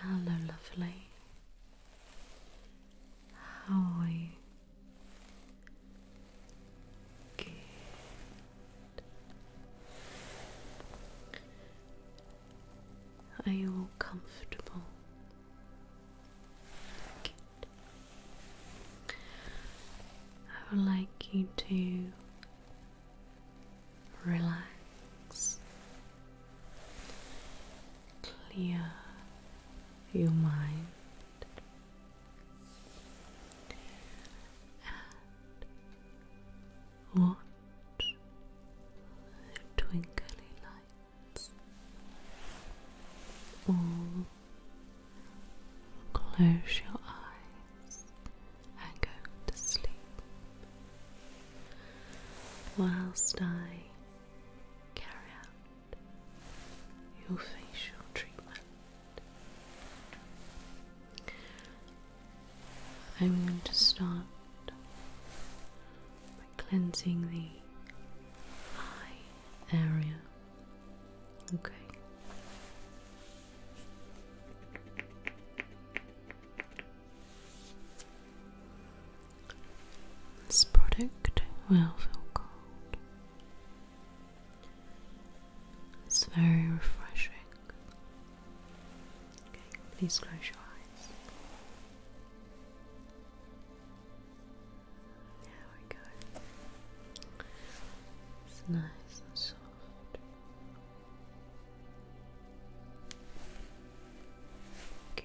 Hello, lovely. How are you? Good. Are you all comfortable? I would like you to relax, clear your mind, and what twinkly lights all close your eyes and go to sleep whilst I carry out your facial treatment. I'm going to start cleansing the eye area. Okay. This product will feel cold. It's very refreshing. Okay, please close your eyes. There we go. It's nice and soft. Good.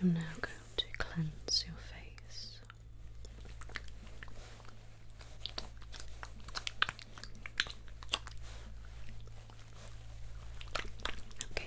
I'm now going to cleanse your face. Okay.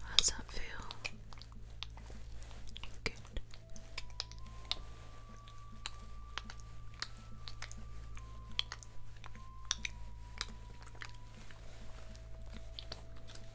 How does that feel? Good.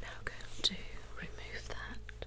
Now going to remove that.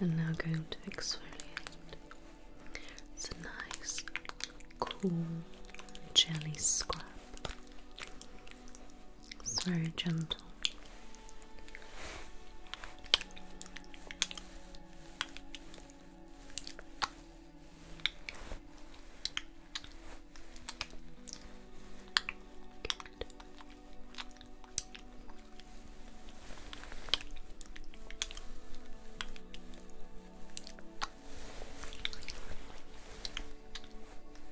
And now going to exfoliate. It's a nice, cool jelly scrub. It's very gentle.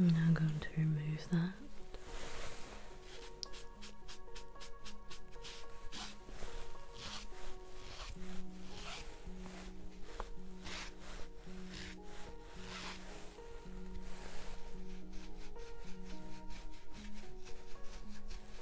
I'm now going to remove that.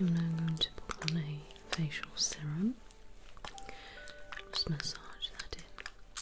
I'm now going to put on a facial serum. Just massage that in.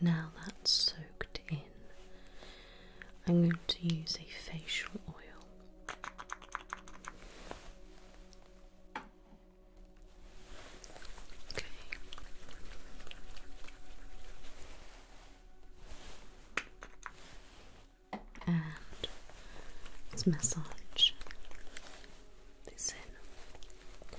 Now that's soaked in, I'm going to use a facial oil. Okay. And massage this in.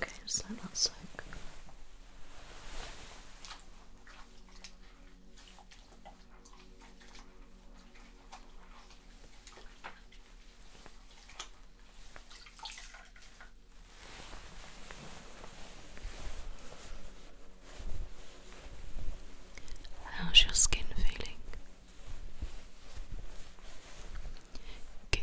Okay, so that's like How's your skin feeling? Good.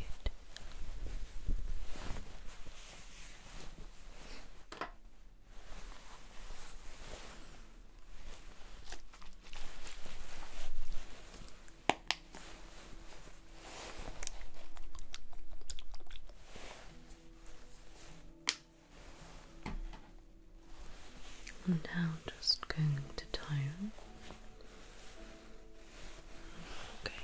I'm now just going to tie Okay.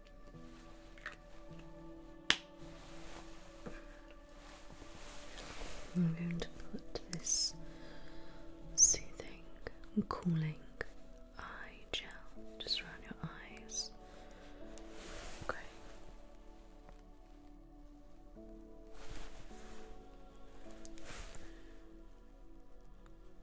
I'm going to put this soothing cooling eye gel just around your eyes. Okay.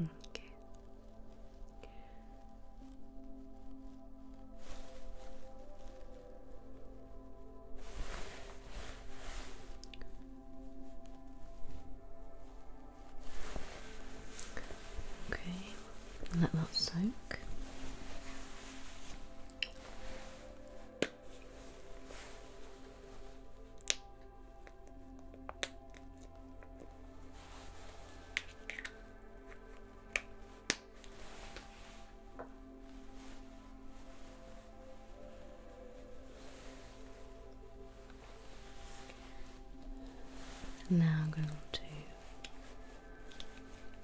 Okay. Okay, let that soak. Now I'm going to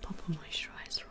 Pop a moisturizer on.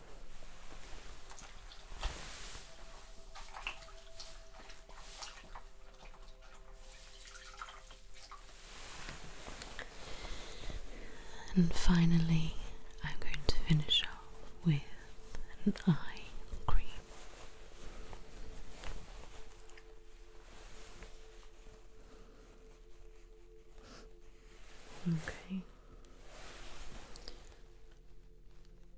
And finally, I'm going to finish off with an eye cream. Okay.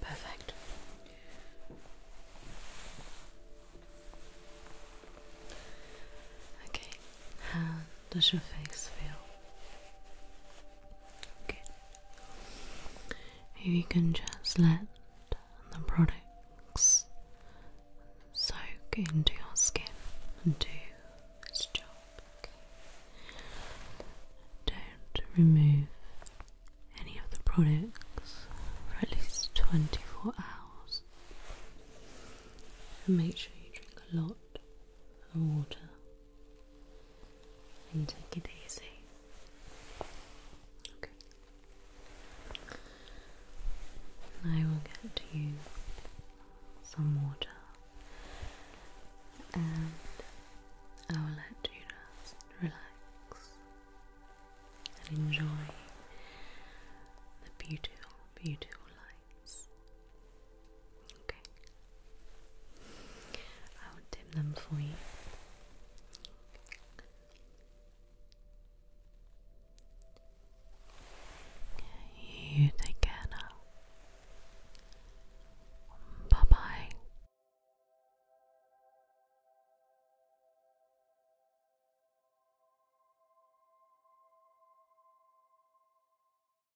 Perfect. Okay, um, does your face feel? Okay. you can just let the products soak into your skin and do its job. Don't remove any of the products for at least 24 hours. And make sure you drink a lot of water and take it easy. Okay. I will get you some water and I will let you just relax and enjoy the beautiful, beautiful lights Okay. I'll dim them for you. You take care Bye bye.